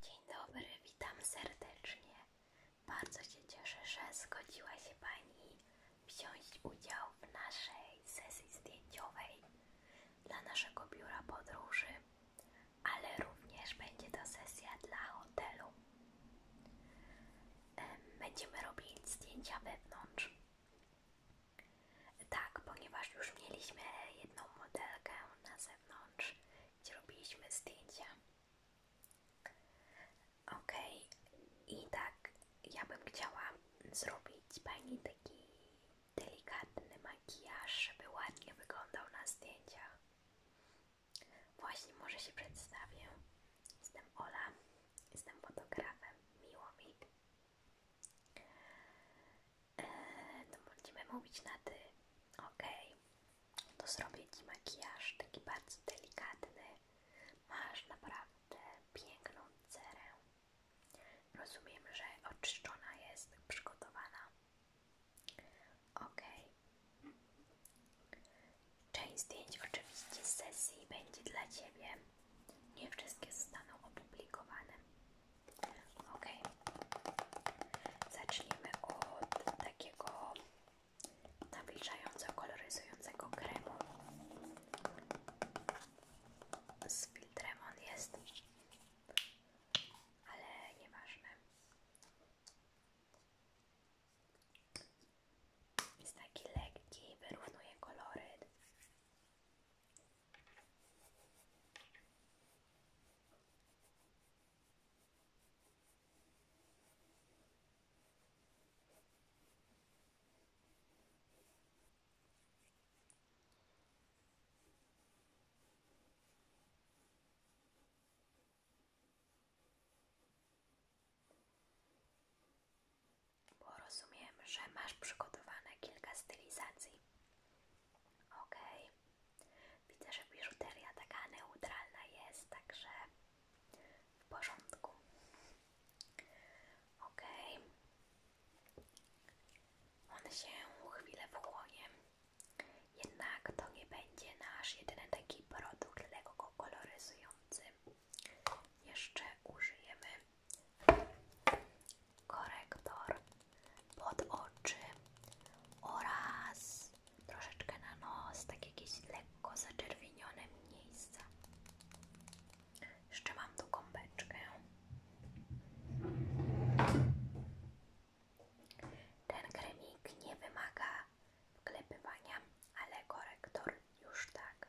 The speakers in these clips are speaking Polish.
Dzień dobry, witam serdecznie. Bardzo się cieszę, że zgodziła się Pani wziąć udział w naszej sesji zdjęciowej dla naszego biura podróży, ale również będzie to sesja dla hotelu. Będziemy robić zdjęcia wewnątrz. Tak, ponieważ już mieliśmy jedną modelkę na zewnątrz gdzie robiliśmy zdjęcia. Ok, i tak ja bym chciała zrobić Pani taki delikatny makijaż, żeby ładnie wyglądał na zdjęciach. Właśnie może się przedstawię. Jestem Ola, jestem fotografem, miło Eee, to będziemy mówić na ty. Ok, to zrobię Ci makijaż taki bardzo delikatny. Masz naprawdę piękną cerę. Rozumiem, że oczyszczona jest, przygotowana. Ok. Część zdjęć oczywiście z sesji będzie dla Ciebie. Nie wszystkie zostaną opublikowane. Ok, zacznijmy od takiego nawilżająco koloryzującego kremu. Z filtrem on jest, ale nieważne. Jest taki lekki, wyrównuje kolory. Bo rozumiem, że masz przygotowane kilka stylizacji. OK. Widzę, że biżuteria taka neutralna jest, także w porządku. OK. On się chwilę wchłonie. Jednak to nie będzie nasz jedyny taki produkt, dlatego go koloryzujący. Jeszcze użyjemy korektor pod oczy oraz troszeczkę na nos, takie jakieś lekko zaczerwienione miejsca. Jeszcze mam tu kąpeczkę. Ten kremik nie wymaga wklepywania, ale korektor już tak.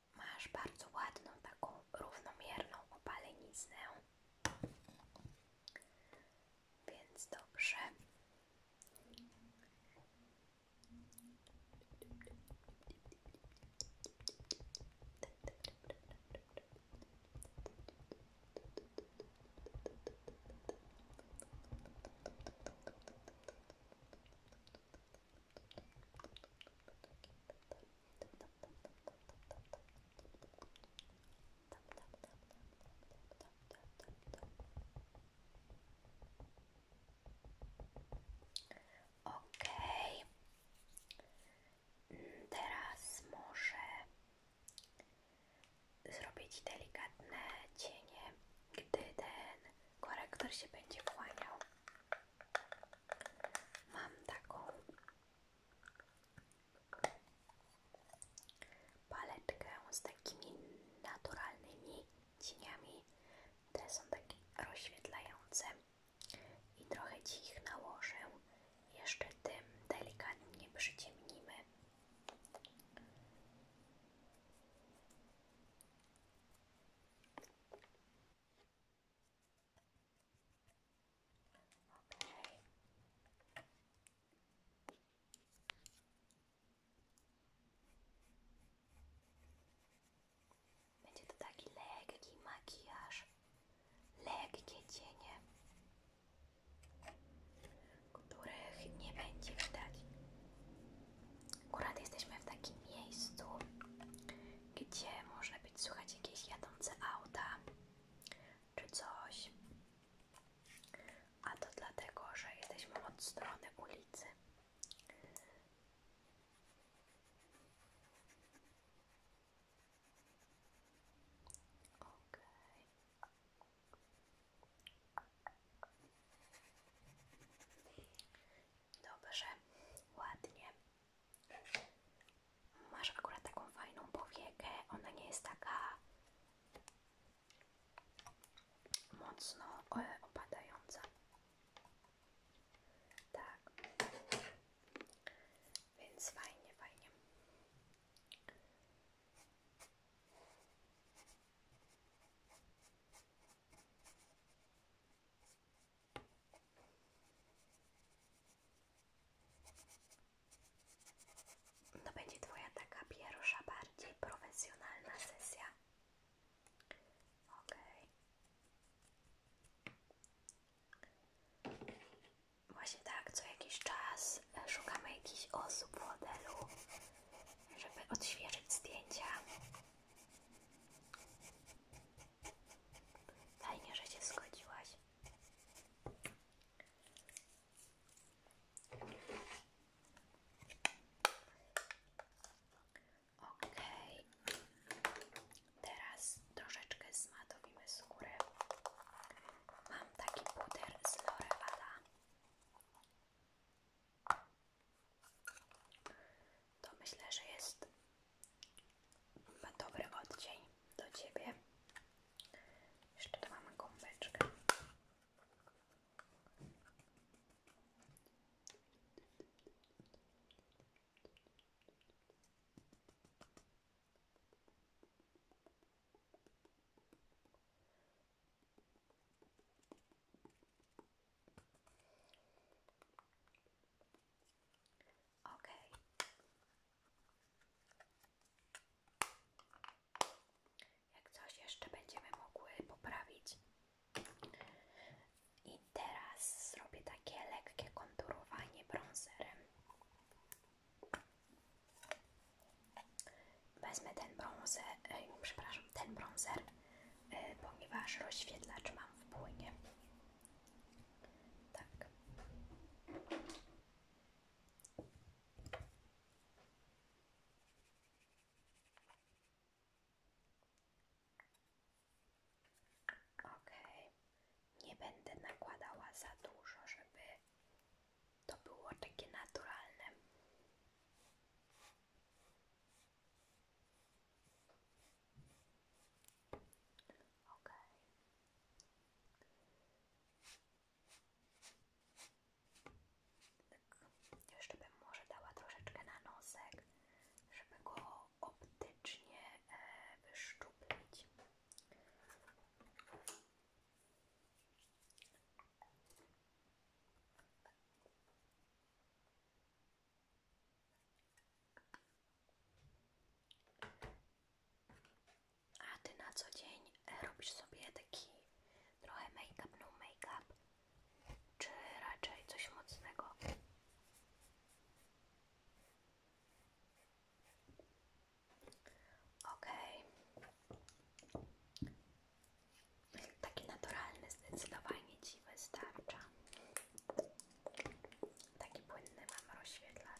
Masz bardzo ładną, taką równomierną opaleniznę. Więc dobrze. Okej, mm, teraz może zrobić delikatne cienie, gdy ten korektor się będzie kłaniał. Mam taką paletkę z takimi naturalnymi cieniami. Te są takie rozświetlające i trochę Ci nałożę. Jeszcze tym delikatnie przyciemnimy. Będzie to taki lekki makijaż, lekkie cienie, których nie będzie widać Akurat jesteśmy w takim miejscu, gdzie można być słuchać jakieś jadące auta czy coś. A to dlatego, że jesteśmy od strony ulicy. Dobrze, ładnie. Masz akurat taką fajną powiekę. Ona nie jest taka mocno e, opadająca. Tak. Więc fajnie, fajnie. To będzie Twoja taka pierwsza, bardziej profesjonalna sesja. Ok. Właśnie tak, co jakiś czas szukamy jakichś osób w hotelu, żeby odświeżyć zdjęcia. Fajnie, że się zgodziłaś. Ok, teraz troszeczkę zmatowimy skórę. Mam taki puder z L'Oreala to myślę, że jest dobry odcień do Ciebie. Jeszcze tu mamy gąbeczkę. Ok. Jak coś jeszcze będziemy mogły poprawić. I teraz zrobię takie lekkie konturowanie brązerem wezmę ten brązer, e, przepraszam, ten brązer, e, ponieważ rozświetlacz mam w płynie. Tak. Okej, nie będę nakładała za dużo, żeby to było takie naturalne. Ok. jeszcze bym może dała troszeczkę na nosek, żeby go optycznie e, wyszczuplić. A Ty na co dzień e, robisz sobie taki trochę make-up, no make-up, czy raczej coś mocnego? Okej, Taki naturalny zdecydowanie Ci wystarcza. Taki płynny mam rozświetlacz.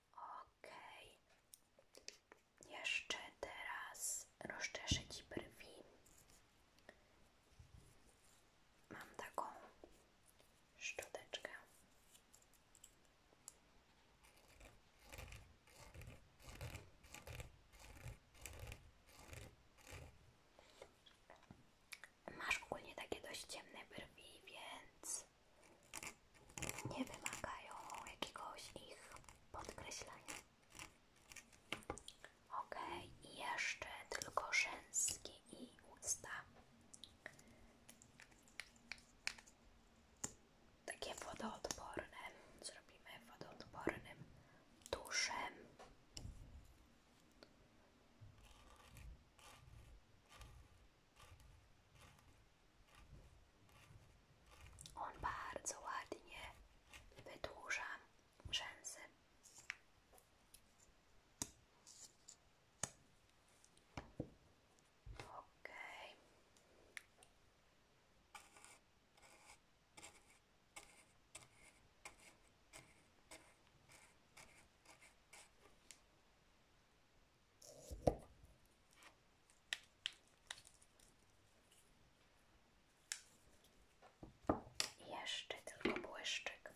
Okej. Jeszcze teraz rozczeszę Ci brwi. Mam taką szczoteczkę. Masz ogólnie takie dość ciemne brwi, więc nie wymagają jakiegoś ich podkreślenia. Ok, i jeszcze tylko rzęski i usta. Takie wodoodporne. Zrobimy wodoodpornym tuszem. On bardzo ładnie wydłuża rzęsy. Okej. Jeszcze tylko błyszczyk.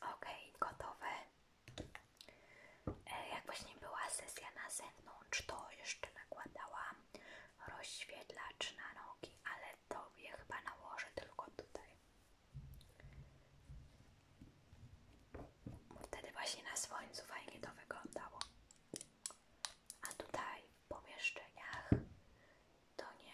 Ok, gotowe. E, jak właśnie była sesja na zewnątrz, to jeszcze nakładałam rozświetlacz na nogi, ale tobie chyba nałożę tylko tutaj. Wtedy właśnie na słońcu fajnie to wyglądało. A tutaj w pomieszczeniach to nie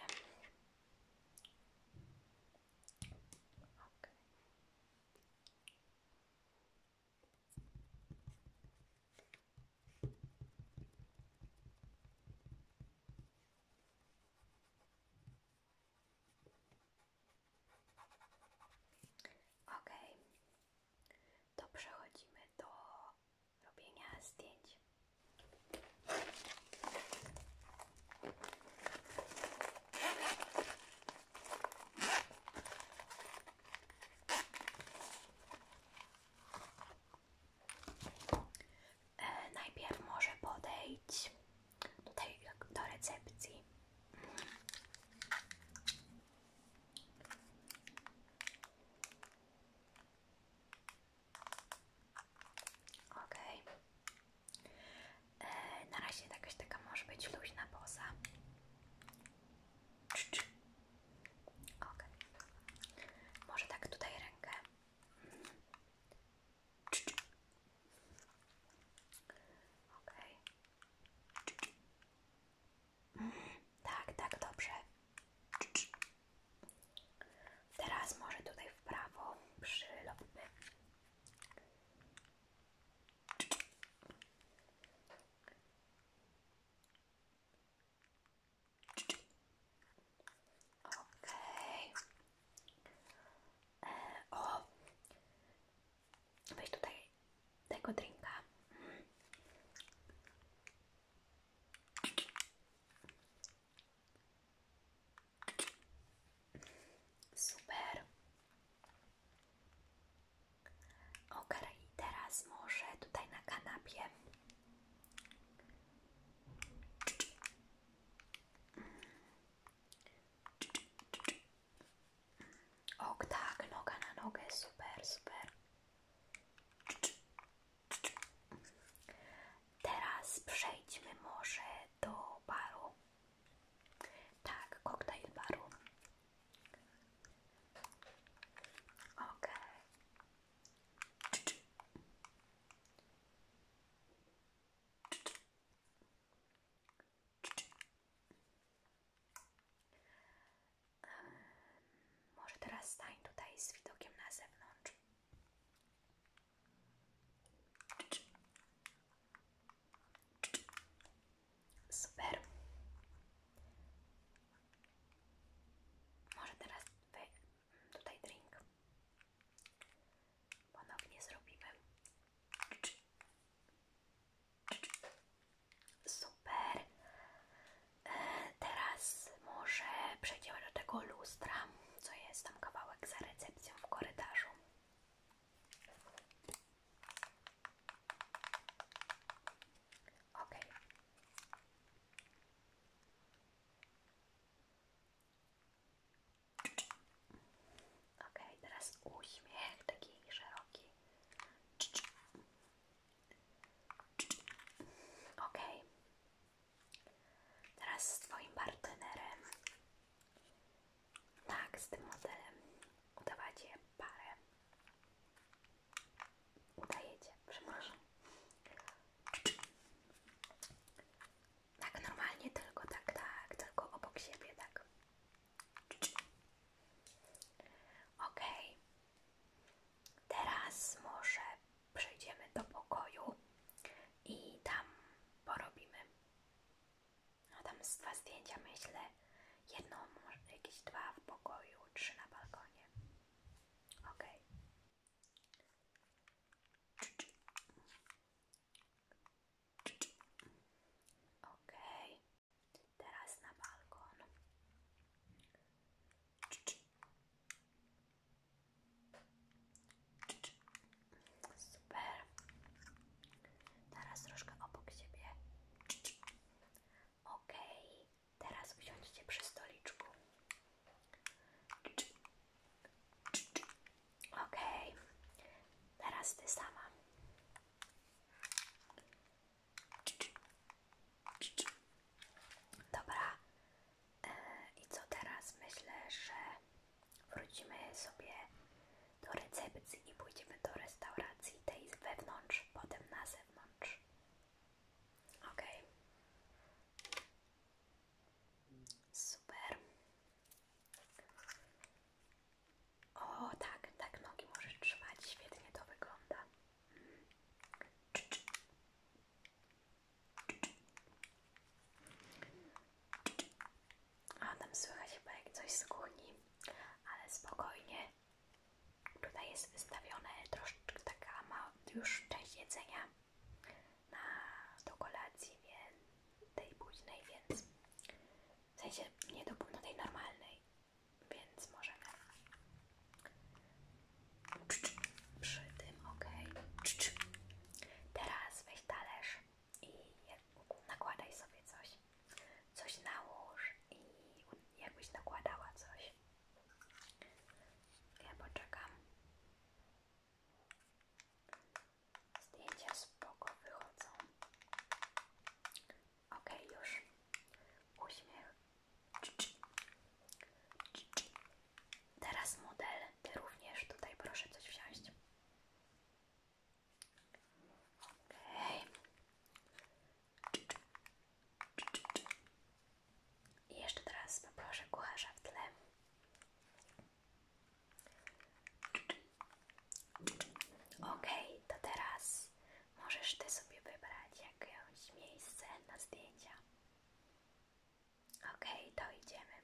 OK. to przechodzimy do robienia zdjęć. E, najpierw może podejść tutaj do recepcji. OK. E, na razie jakaś taka może być luźna poza. OK. Może tak tutaj rękę. Okej. Tak, tak, dobrze. Teraz może tutaj w prawo przy lobby. E, o! Weź tutaj tego drinka. Super. Ok, teraz może tutaj na kanapie. Och tak, noga na nogę, super, super. Teraz przejdźmy może do baru. Tak, koktajl baru. Ok. Może teraz stań tutaj z widokiem na zewnątrz. Super. Może teraz tutaj drink. Ponownie zrobimy. Super. E, teraz może przejdziemy do tego lustra, co jest tam kawałek za recepcją w korytarzu. Ok. Ok, teraz uśmiech taki szeroki. Ok. Teraz z Twoim partnerem. Tak, z tym modelem udawacie parę. Udajecie, przepraszam. Tak, normalnie tylko, tak, tak, tylko obok siebie, tak. OK. Teraz może przejdziemy do pokoju i tam porobimy. No tam z dwa zdjęcia myślę. Jedno, może jakieś dwa w pokoju, trzy na balkonie. Ok. Ok. Teraz na balkon. Super. Teraz troszkę obok siebie. Ok. Teraz wziąć cię przy stoliczku. Ok. Teraz ty sama. Dobra. E, I co teraz? Myślę, że wrócimy sobie do recepcji i pójdziemy do restauracji tej z wewnątrz, potem na zewnątrz. Ok. Super. O tak, tak nogi możesz trwać świetnie to wygląda. A tam słychać chyba jak coś z kuchni, ale spokojnie. Tutaj jest wystawione troszeczkę taka ma już część jedzenia na do kolacji, więc tej późnej, więc w sensie nie do, do no normalnej, więc możemy przy tym, ok. Teraz weź talerz i nakładaj sobie coś. Coś nałóż i jakbyś nakładała coś. Ja poczekam. Zdjęcia spoko wychodzą. Ok, już. Uśmiech. Teraz model, ty również tutaj proszę coś wziąć. Okej. I jeszcze teraz poproszę kucharza w tle. OK, to teraz możesz Ty sobie wybrać jakieś miejsce na zdjęcia. OK, to idziemy.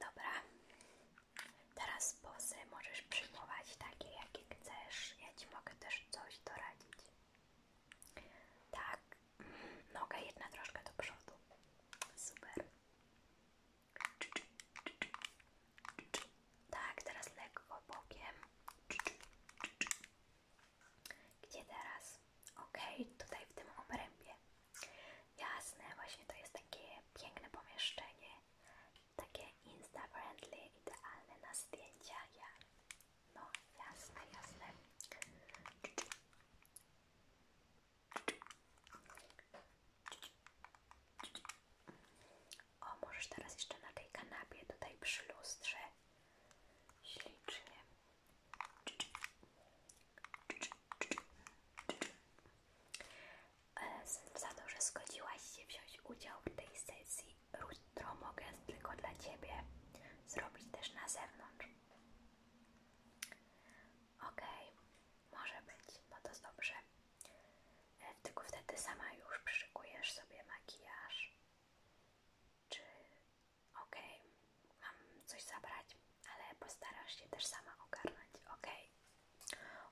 Dobra. Teraz pozy możesz przyjmować takie, jakie chcesz. Ja Ci mogę też coś doradzić. Tak, mhm. noga jedna troszkę do przodu. Super. Tak, teraz lekko bokiem. Gdzie teraz? Ok, tutaj w tym obrębie. Jasne, właśnie to jest takie piękne pomieszczenie. Takie insta-friendly, idealne na zdjęcia. No, jasne, jasne. O, możesz teraz jeszcze na tej kanapie, tutaj przy lustrze. Ślicznie. E, za to, że zgodziłaś się wziąć udział w tej sesji, jutro mogę tylko dla Ciebie zrobić też na zewnątrz. Okej, może być, no to jest dobrze. E, tylko wtedy sama już przyszykujesz sobie makijaż. Czy ok, mam coś zabrać, ale postarasz się też sama ogarnąć. Ok.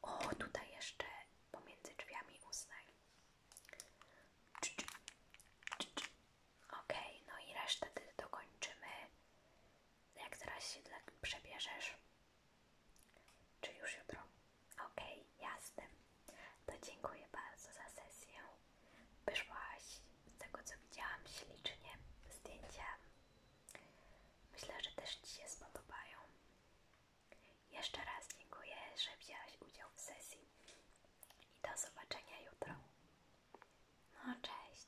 O, tutaj jeszcze pomiędzy drzwiami uznaj. Ok, no i resztę dokończymy. Jak zaraz się przebierzesz, czy już jutro? Okej, jasne. To dziękuję bardzo za sesję. Wyszłaś z tego, co widziałam, ślicznie. Zdjęcia myślę, że też Ci się spodobają. Jeszcze raz dziękuję, że wzięłaś udział w sesji. I do zobaczenia jutro. No, cześć.